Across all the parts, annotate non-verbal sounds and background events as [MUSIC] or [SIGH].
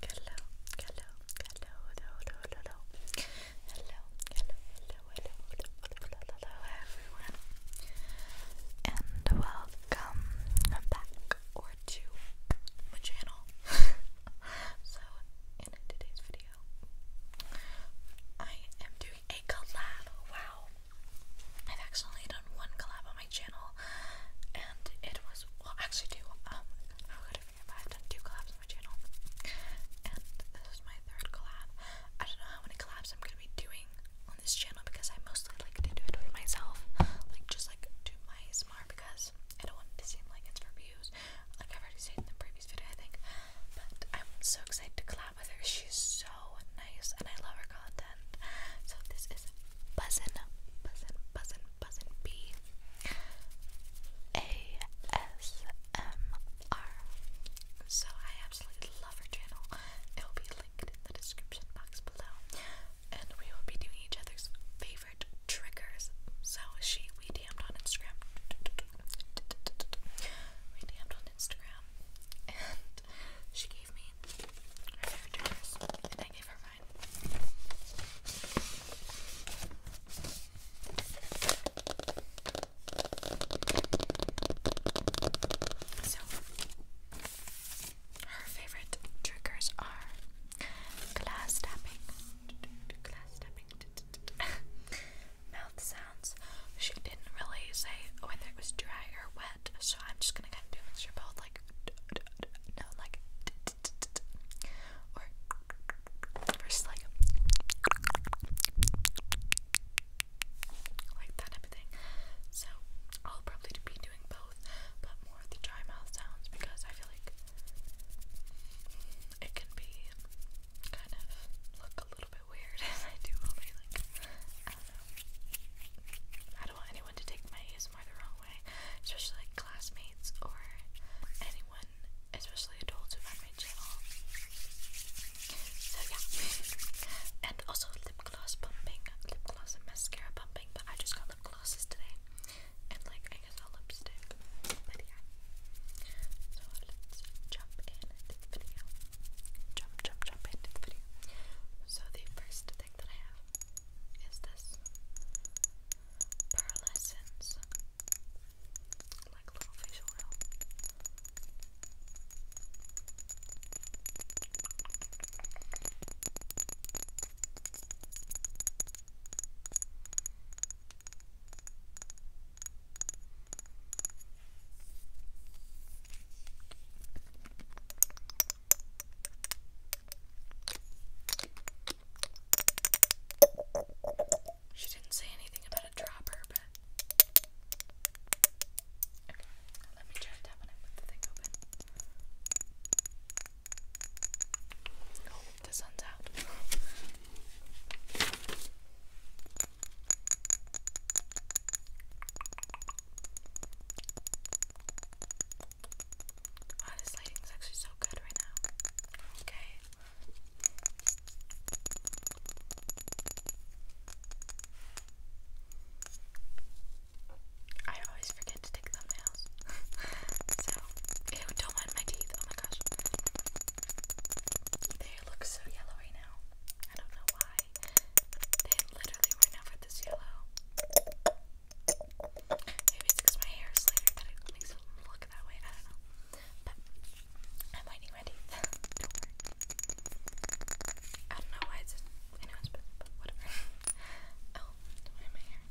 Hello, hello, hello, hello, hello, hello, hello, hello, hello, hello, hello, everyone, and welcome back to my channel. so, in today's video, I am doing a collab. Wow, I've actually done one collab on my channel, and it was actually two. Um, how could I forget? I've done two collabs on my channel, and this is my third collab. I don't know how many collabs I'm gonna be doing on this channel because I mostly like to do it with myself, like just like do my smart because I don't want to seem like it's for views. Like I've already said in the previous video, I think. But I'm so excited to collab with her. She's so nice and I love her content. So this is Buzzin, Buzzin, Buzzin, Buzzin B A S M R. So I absolutely love her channel. It will be linked in the description box below. And we will be doing each other's favorite triggers. So she we damned on Instagram. [LAUGHS] We dm on Instagram and she gave her favorite triggers are glass tapping, [LAUGHS] mouth sounds. She didn't really say whether it was dry or wet so I'm just gonna kind of do a mixture of both, like no, like or versus like like that type of thing. So I'll probably be doing both, but more of the dry mouth sounds because I feel like it can be kind of look a little bit weird [LAUGHS] I do only like I don't want anyone to take my ASMR the wrong way, especially like classmates or anyone, especially adults who find my channel. So yeah, and also lip gloss pumping, lip gloss and mascara pumping. I just got lip glosses today, and like I guess a lipstick. But yeah, so let's jump in this video jump, jump, jump into the video. So the first thing that I have is this pearlescence, like little facial oil. She didn't say anything about a dropper, but. Okay, let me try to tap on it with the thing open. Oh, the sun's out. Wow, ah, this lighting is actually so good right now. Okay. I always forget to take thumbnails. [LAUGHS] so, don't mind my teeth. Oh my gosh. They look so yellow right now. I don't know why. They literally were never this yellow. Maybe it's because my hair is later that it makes it look that way. I don't know. But I'm waiting ready. do I don't know why it's anyone's but, but whatever. [LAUGHS] oh, my hair.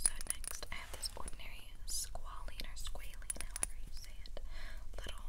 So next I have this ordinary squalene or squalene, however you say it. Little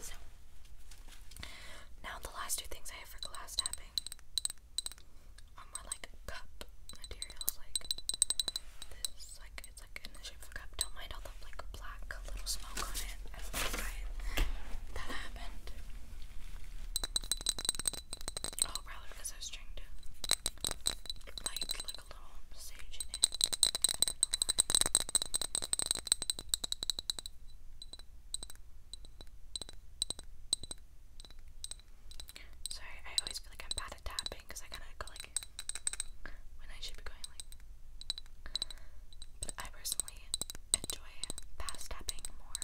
So now the last two things I have for glass tapping are more like cup materials, like this, like it's like in the shape of a cup. Don't mind all the like black I Oh, probably because I was trying to light like a little sage in it. Sorry, I always feel like I'm bad at tapping because I kind of go like when I should be going like. But I personally enjoy fast tapping more.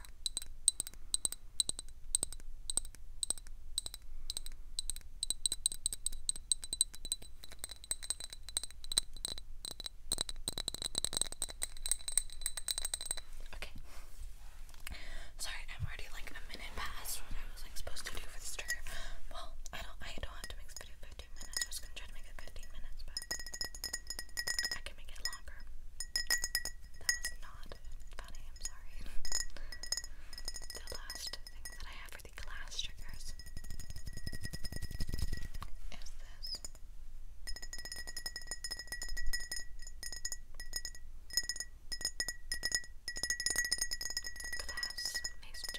Okay. Sorry, I'm already like a minute past what I was like supposed to do for this trigger. Well, I don't I don't have to make this video 15 minutes. I was gonna try to make it 15 minutes, but I can make it longer. That was not funny, I'm sorry. the last thing that I have for the class triggers is this. Glass mason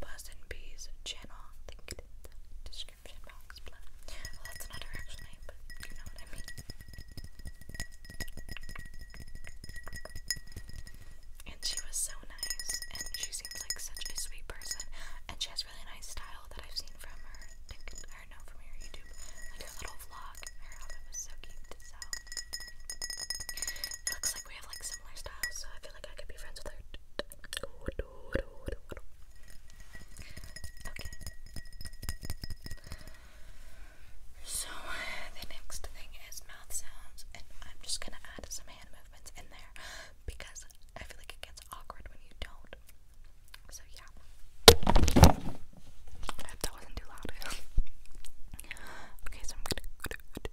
Buzz and Bees channel linked in the description box that's not actual name, but you know what I mean. And she was so nice, and she seems like such a sweet person, and she has really nice style that I've seen from her, or no, from her YouTube, like her little vlog. Her outfit was so cute, so we have like similar styles, so I feel like I could be friends with her. So the next thing is mouth sounds, and I'm just gonna add some hand movements in there because I feel like it gets awkward when you don't. So yeah. I hope that wasn't too loud. [LAUGHS] okay, so I'm gonna.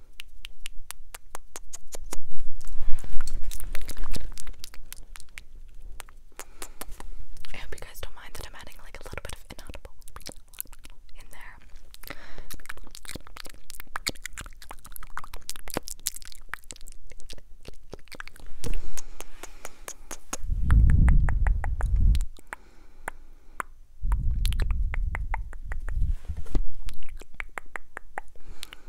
I hope you guys don't mind that I'm adding like a little bit of inaudible in there.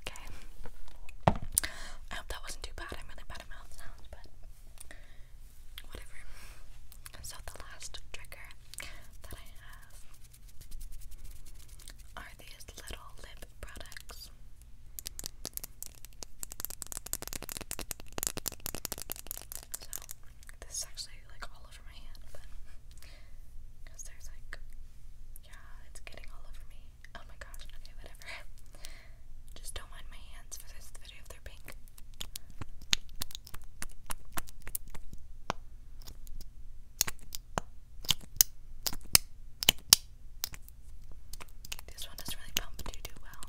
Okay. I hope that wasn't too bad. I'm really bad at mouth sounds, but whatever. So the last trigger that I have are these little lip products. So this is actually like all over my hand, but because there's like yeah, it's getting all over me. Oh my gosh, okay, whatever. Just don't mind my hands for this video if they're pink. This one does really pump too too well.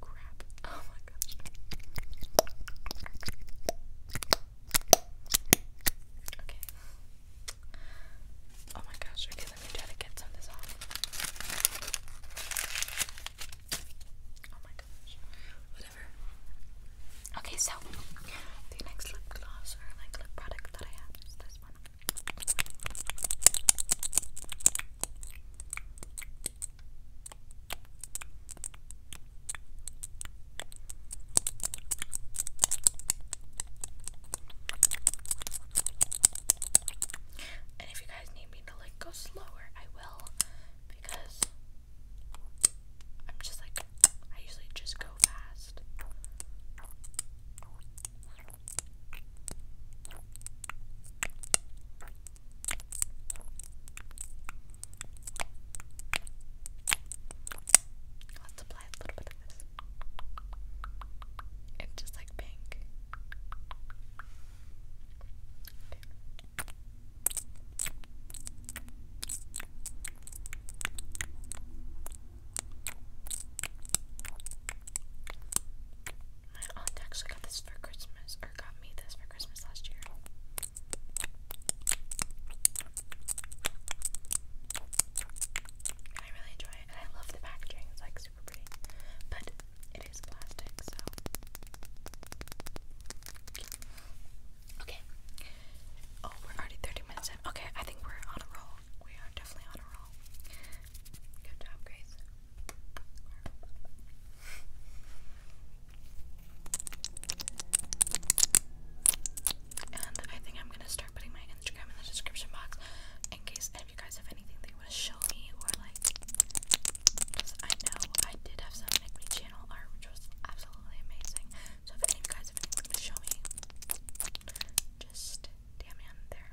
Crap. Oh my gosh. Okay. Oh my gosh, okay, let me try to get some of this off. Oh my gosh. Whatever. Okay, so the next lip gloss or like lip product that I have is this one. And if you guys need me to like go slower, I will because I'm just like I usually just go fast apply a It's just like pink. My aunt actually got this for Christmas, or got me this for Christmas last year. I really enjoy I love the packaging, it's like super pretty. But it is plastic, so okay. Oh, we're already 30 minutes in. Okay, I think we're on a roll. We are definitely on a roll. Good job, Grace. And I think I'm gonna start putting my Instagram in the description box in case any of you guys have anything that you want to show me or like. I know I did have some Make channel art, which was absolutely amazing. So if any guys have anything to show me, just damn me on there.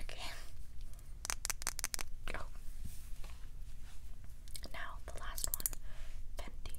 Okay. Oh. Now the last one, Fenty.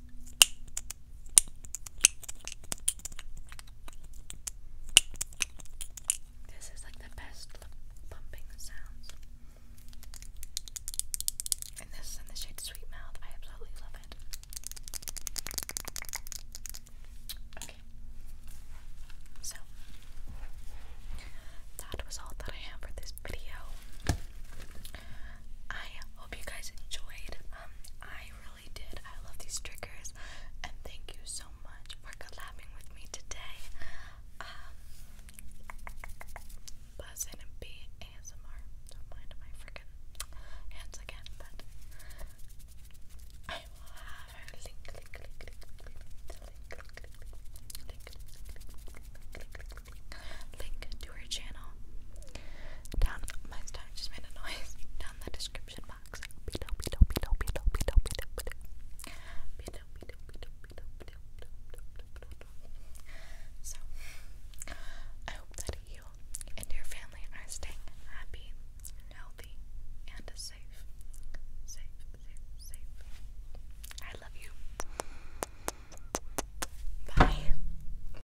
This is like the best lip pumping sounds. And this is in the shade Sweet Mouth. I absolutely love it. Okay. So, that was all that I have for this video. I hope you guys enjoyed. Um, I really did. I love these triggers, and thank you so much for collabing with me today. Um, and B ASMR. Don't mind my freaking hands again, but I will have her link, link, link, link, link, link, link, link, link, link, link, link, link, link, link, link to channel down my stomach just made a noise down the description box so, I hope that you and your family are staying happy, healthy, and safe. Safe, safe, safe. I love you. Bye.